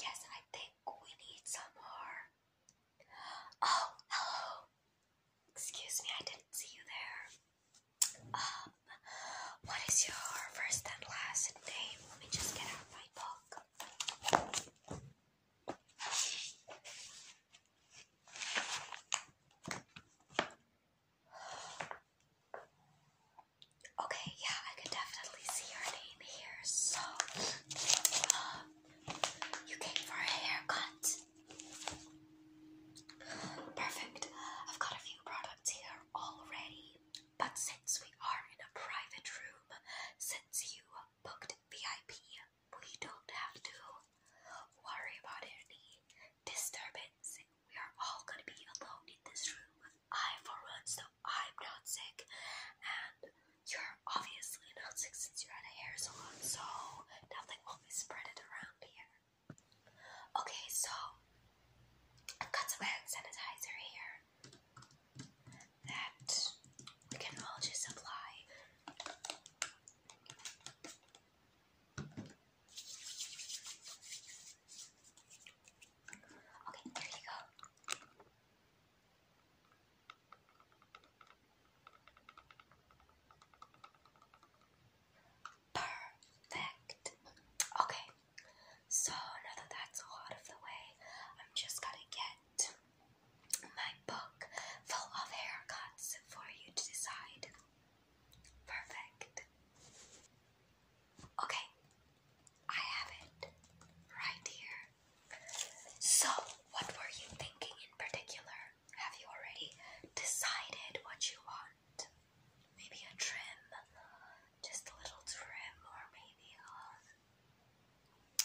Yes, I think we need some more. Oh, hello. Excuse me, I didn't see you there. Um, what is your first and last name? Let me just get out my book. Okay, yeah, I can definitely see your name here. So, uh, you came for a haircut. Perfect. I've got a few products here already, but since we are in a private room, since you booked VIP, we don't have to worry about any disturbance. We are all gonna be alone in this room, I, for one, so I'm not sick, and you're obviously not sick since you're at a hair salon, so nothing will be spreaded around here. Okay, so I've got some hand sanitizer here that we can all just apply. Okay, there you go. Perfect. Okay, so now that that's all out of the way, I'm just gonna get my book full of haircuts for you to decide. Perfect. Okay, I have it right here. So, what were you thinking in particular? Have you already decided what you want? Maybe a trim, just a little trim, or maybe a.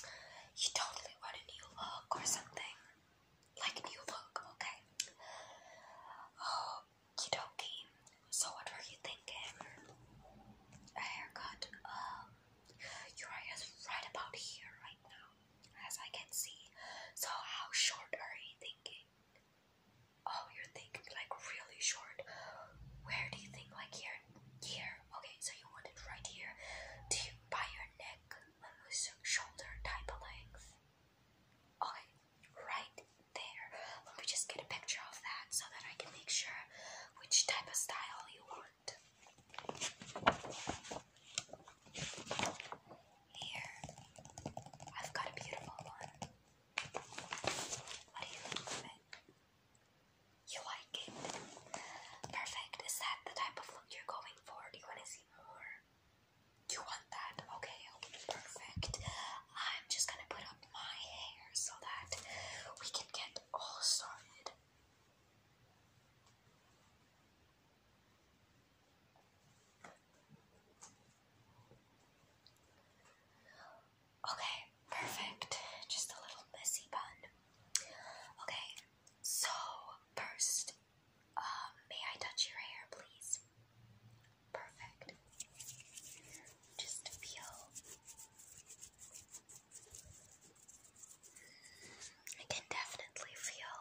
Uh, you totally want a new look or something. Like a new look, okay? Oh, you So, what were you thinking? A haircut? Uriah is right about here right now, as I can see. So how short are you thinking? Oh, you're thinking like really short. Where do you think like here? Here. Okay, so you want it right here. Do you by your neck, shoulder type of length? Okay, right there. Let me just get a picture of that so that I can make sure which type of style you want. Here, I've got a beautiful one. What do you think of it? You like it? Perfect. Is that the type of look you're going for? Do you want to see more? You want that? Okay, perfect. I'm just gonna put up my hair so that we can get all sorted. Okay, perfect. Just a little messy bun. Okay, so first, um, may I touch your hair, please? Perfect. Just feel I can definitely feel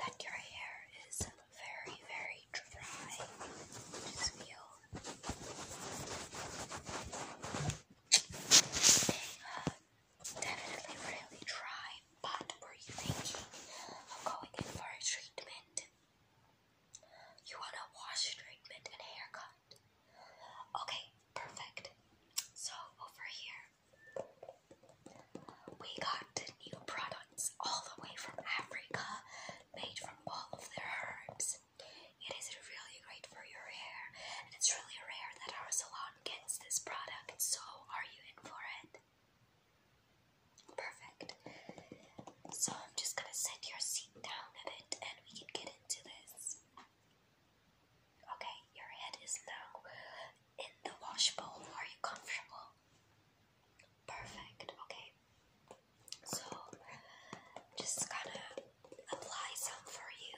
that your hair is very, very dry. Just feel. Uh, definitely really dry, but were you thinking of going in for a treatment? You want a wash treatment and haircut? Okay, perfect. So over here, we got new products all the way from Africa, made from all of their herbs. It is really great for your hair, and it's really rare that our salon gets this product, so are you in for it? Perfect. So I'm just gonna set your seat down a bit and we can get into this. Okay, your head is now in the wash bowl. Are you comfortable? Perfect, okay. So, just gonna apply some for you.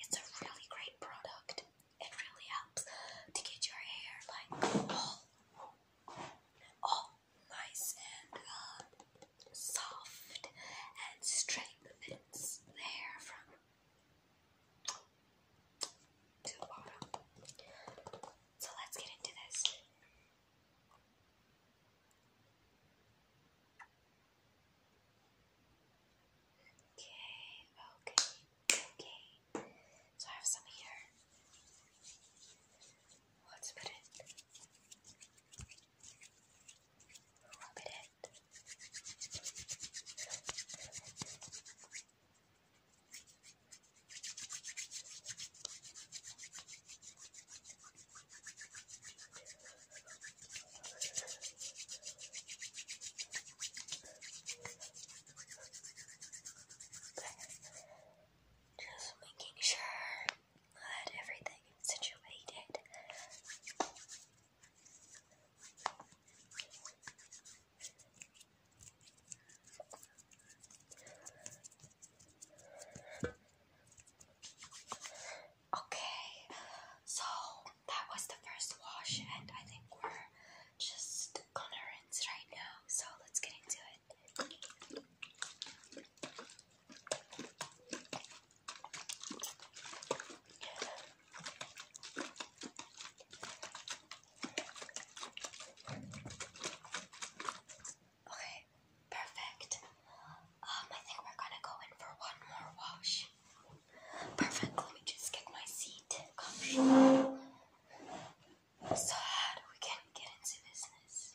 It's a really great product. It really helps to get your hair like all, all nice and uh, soft and strengthens the hair from to bottom. So let's get into this. Okay, okay, okay. So I have some here. Let's put it just making sure that everything is situated. Okay, so that was the first wash, and I think we're just gonna rinse right now. So let's get into it. Okay, perfect. Um, I think we're gonna go in for one more wash. Perfect, let me just get my seat so that we can get into business.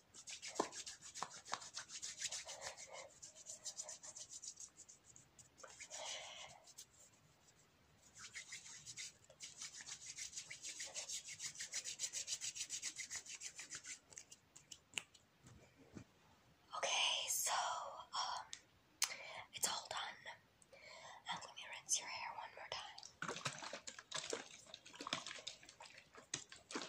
Okay, so um it's all done. Now let me rinse your hair one more time. Perfect.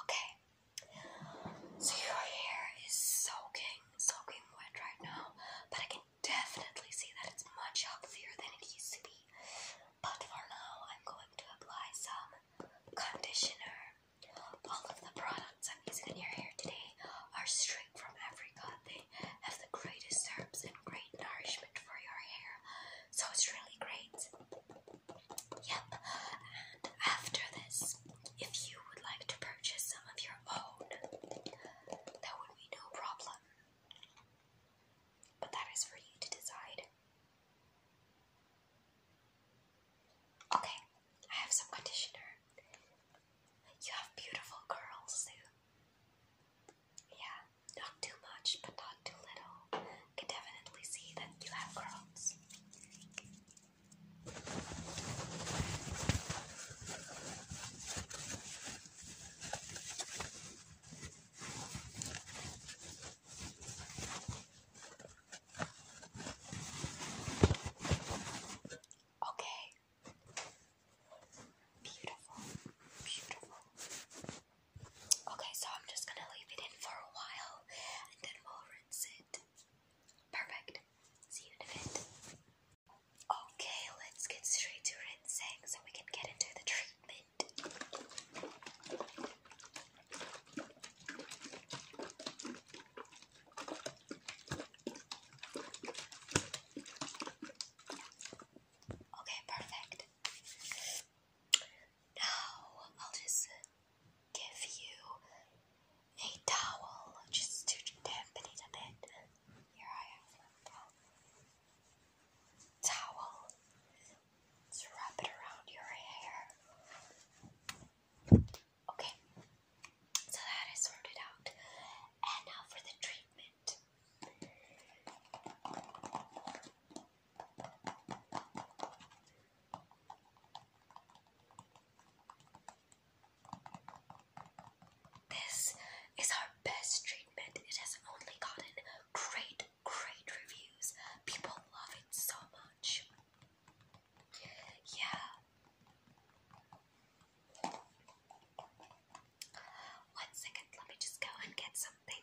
Okay. So your hair is soaking, soaking wet right now, but I can definitely see that it's much healthier than it used to be. But for now, I'm going to apply some conditioner. All of the products I'm using in your hair today are straight from Africa. They have the greatest herbs and great nourishment for your hair. So it's really great. Yep. And after this, if you would like to purchase some of your own, that would be no problem. But that is for you to decide. Okay, I have some conditioner. You have beautiful curls too. Yeah, not too much, but not too little. can definitely see that you have curls. Okay, Beautiful, beautiful. Okay, so I'm just gonna leave it in for a while and then we'll rinse it. Perfect. See you in a bit. Okay, let's get straight to rinsing so we can get into the treatment. Okay, perfect. Now I'll just give you a towel just to dampen it a bit. Here I towel. Let's wrap it around your hair. Okay, so that is sorted out. And now for the treatment. This is our best treatment. It has only gotten great, great reviews. People love it so much. Yeah. One second, let me just go and get something.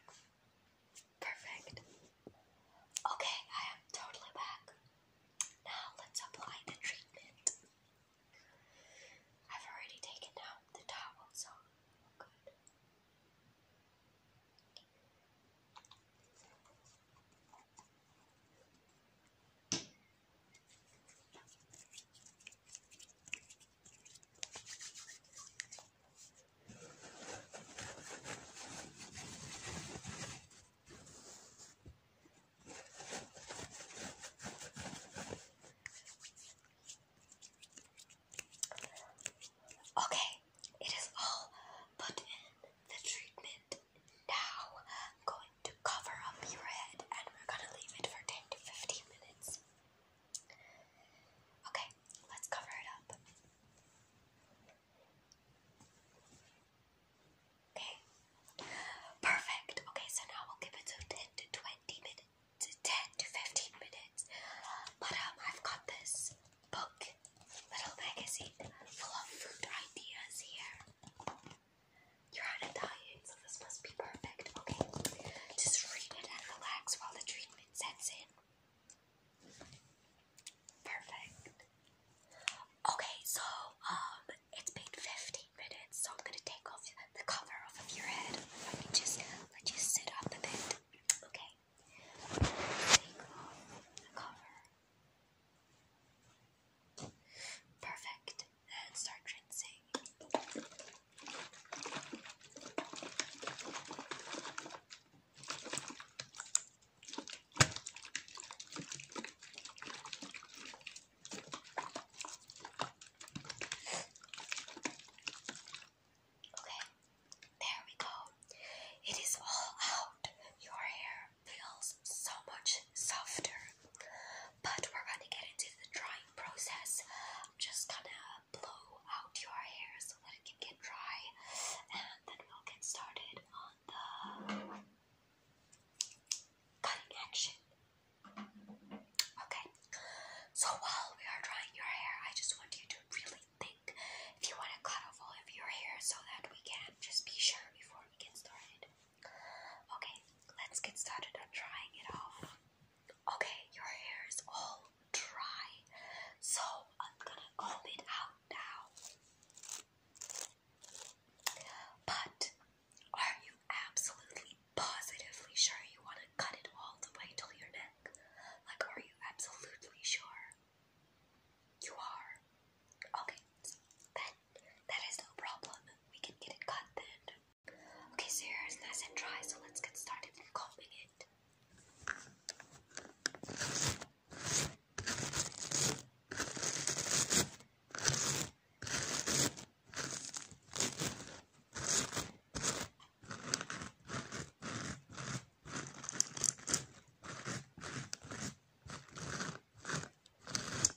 Perfect. Okay, I am totally back. Now let's apply the treatment. I've already taken out the towel, so good. Okay, it is all put in the treatment now I'm going to cover up your head and we're gonna leave it for 10 to 15 minutes. Okay, let's cover it up. Okay, perfect. Okay, so now we'll give it to 10 to 20 minutes, to 10 to 15 minutes. But um, I've got this book, little magazine full of fruit ideas here. You're on Italian, so this must be perfect. Okay, just read it and relax while the treatment sets in. Perfect. Okay, so um, it's been 15 minutes, so I'm gonna take off the cover off of your head. Let me just let you sit up a bit. Okay. Take off the cover. Perfect. And start rinsing. Okay, there we go. It is all out. Your hair feels so much softer but we're gonna get into the drying process. just gonna blow out your hair so that it can get dry, and then we'll get started on the cutting action. Okay, so while we are drying your hair, I just want you to really think if you want to cut off all of your hair so that we can just be sure before we get started. Okay, let's get started on drying it off. Okay, your hair is all dry, so I'm gonna comb it out now. But are you absolutely positively sure you want to cut it all the way till your neck? Like, are you absolutely sure? You are? Okay, so then that is no problem. We can get it cut then. Okay, so your hair nice and dry, so let's get started combing it.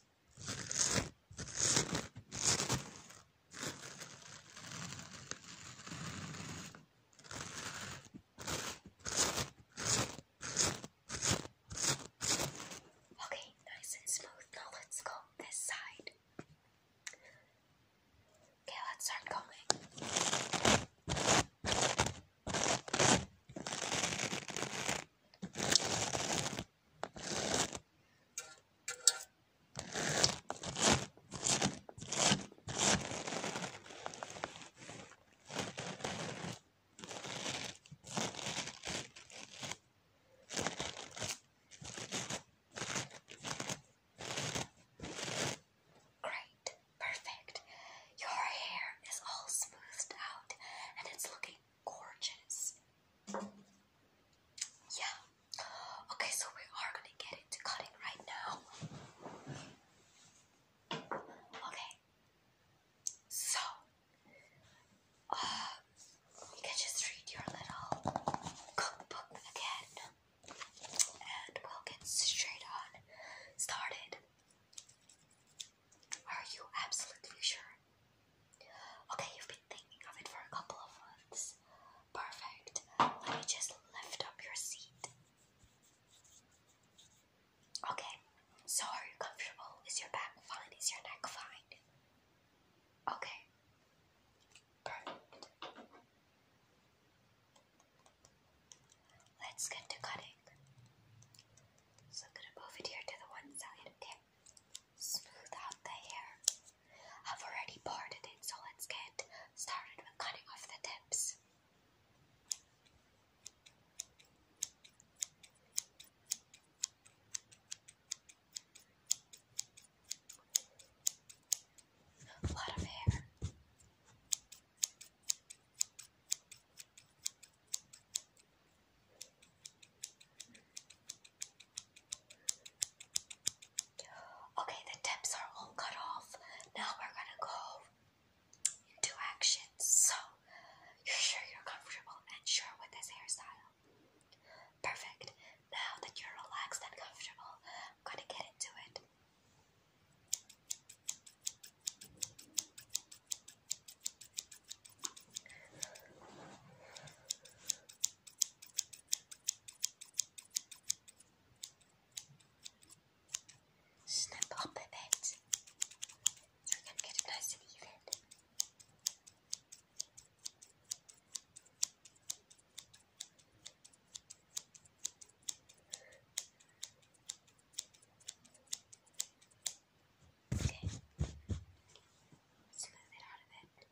Okay, nice and smooth. Now let's comb this side. Okay, let's start combing. Great, perfect. Your hair is all smoothed out and it's looking gorgeous. Yeah. Okay, so we are gonna get into cutting right now. Okay. So, uh, you can just read your little cookbook again, and we'll get straight on started. Are you absolutely sure Okay, you've been thinking of it for a couple of months. Perfect. Let me just lift up your seat. Okay, so are you comfortable? Is your back fine? Is your neck fine? Okay, perfect. Let's get to cutting. So I'm gonna move it here to the one side, okay? smooth out the hair. I've already parted it, so let's get started with cutting off the tips. A lot of hair. Okay, the tips are all cut off. Now we're gonna go into action. So, you're sure you're comfortable and sure with this hairstyle? Perfect. Now that you're relaxed and comfortable, I'm gonna get into it. Snip up a bit so we can get it nice and even. Okay, smooth it out a bit.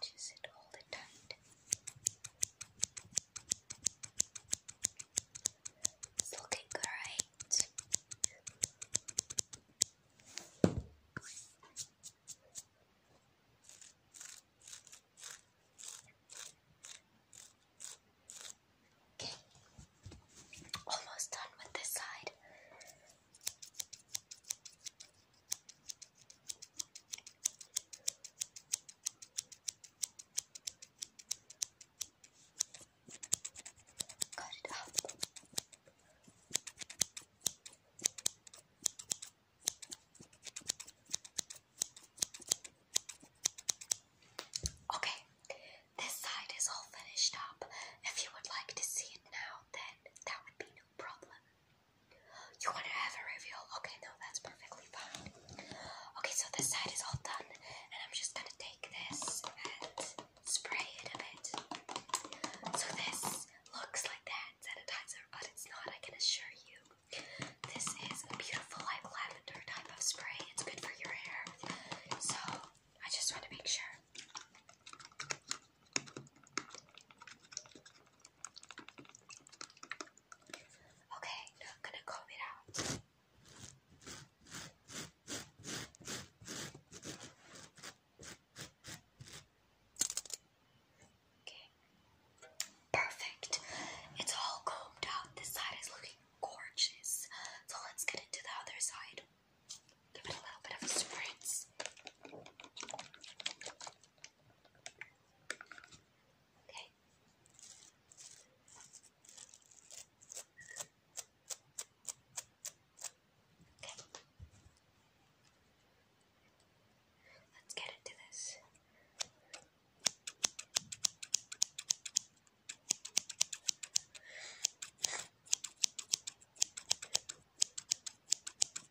Just it tight. It's looking great. Okay, almost done with this side. Cut it up. Ah. Okay, this side is all finished up. If you would like to see it now, then that would be no problem. You want to have a reveal? Okay, no, that's perfectly fine. Okay, so this side is all done, and I'm just gonna take this and spray it a bit. So this looks like that hand sanitizer, but it's not, I can assure you. This is a beautiful, like, lavender type of spray. It's good for your hair. So, I just want to make sure. Okay, I'm gonna comb it out. Okay. Perfect. It's all combed out. This side is looking gorgeous. So let's get into the other side. Give it a little bit of a spritz. Okay. Okay. Let's get into this.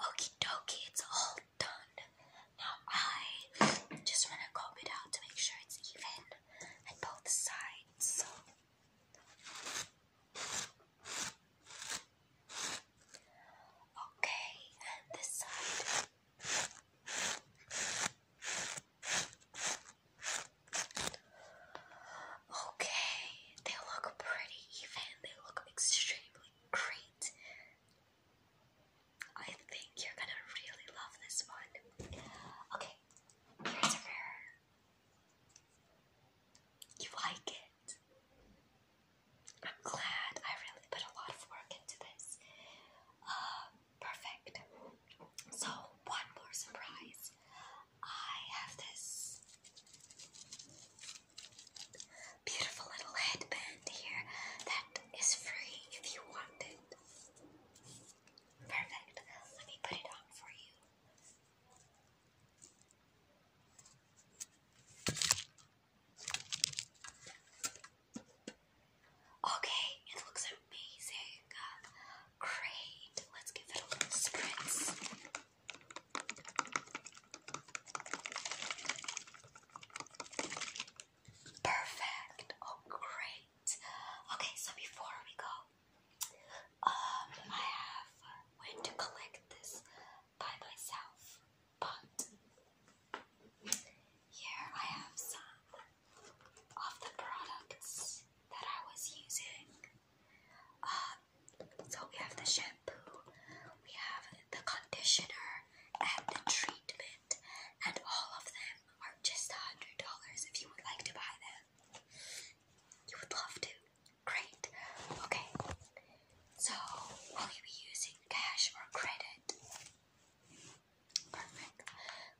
Okie it's all done. Now I just want to comb it out to make sure it's even at both sides. So. Okay, and this side. Okay, they look pretty even. They look extremely great. I think you're gonna really love this one. Okay, here's a mirror. You like it? I'm glad I really put a lot of work into this. Uh, perfect. So, one more surprise. I have this beautiful little headband here that is free if you want it. Perfect. Let me put it on for you. Okay, it looks amazing. Great. Let's give it a spritz. Perfect. Oh, great. Okay, so before we go, um, I have went to collect this by myself. But here I have some of the products that I was using. Um, so we have the shampoo, we have the conditioner, and the treatment, and all of them are just a hundred dollars if you would like to buy them. You would love to. Great. Okay. So, will you be using cash or credit? Perfect.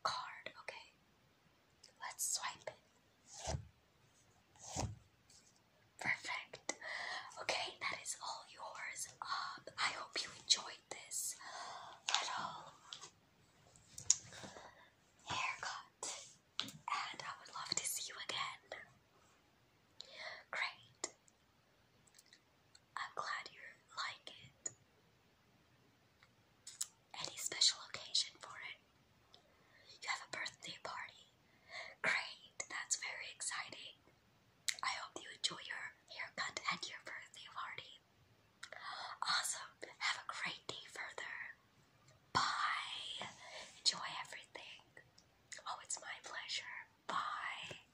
Card, okay. Let's swipe it. Perfect. Okay, that is all yours. Um, I hope you enjoyed this little haircut. And I would love to see you again. Great. I'm glad you like it. Any special occasion for it? You have a birthday party. Great, that's very exciting. I hope you enjoy your haircut and your birthday party. Awesome. Have a great day further. Bye. Enjoy everything. Oh, it's my pleasure. Bye.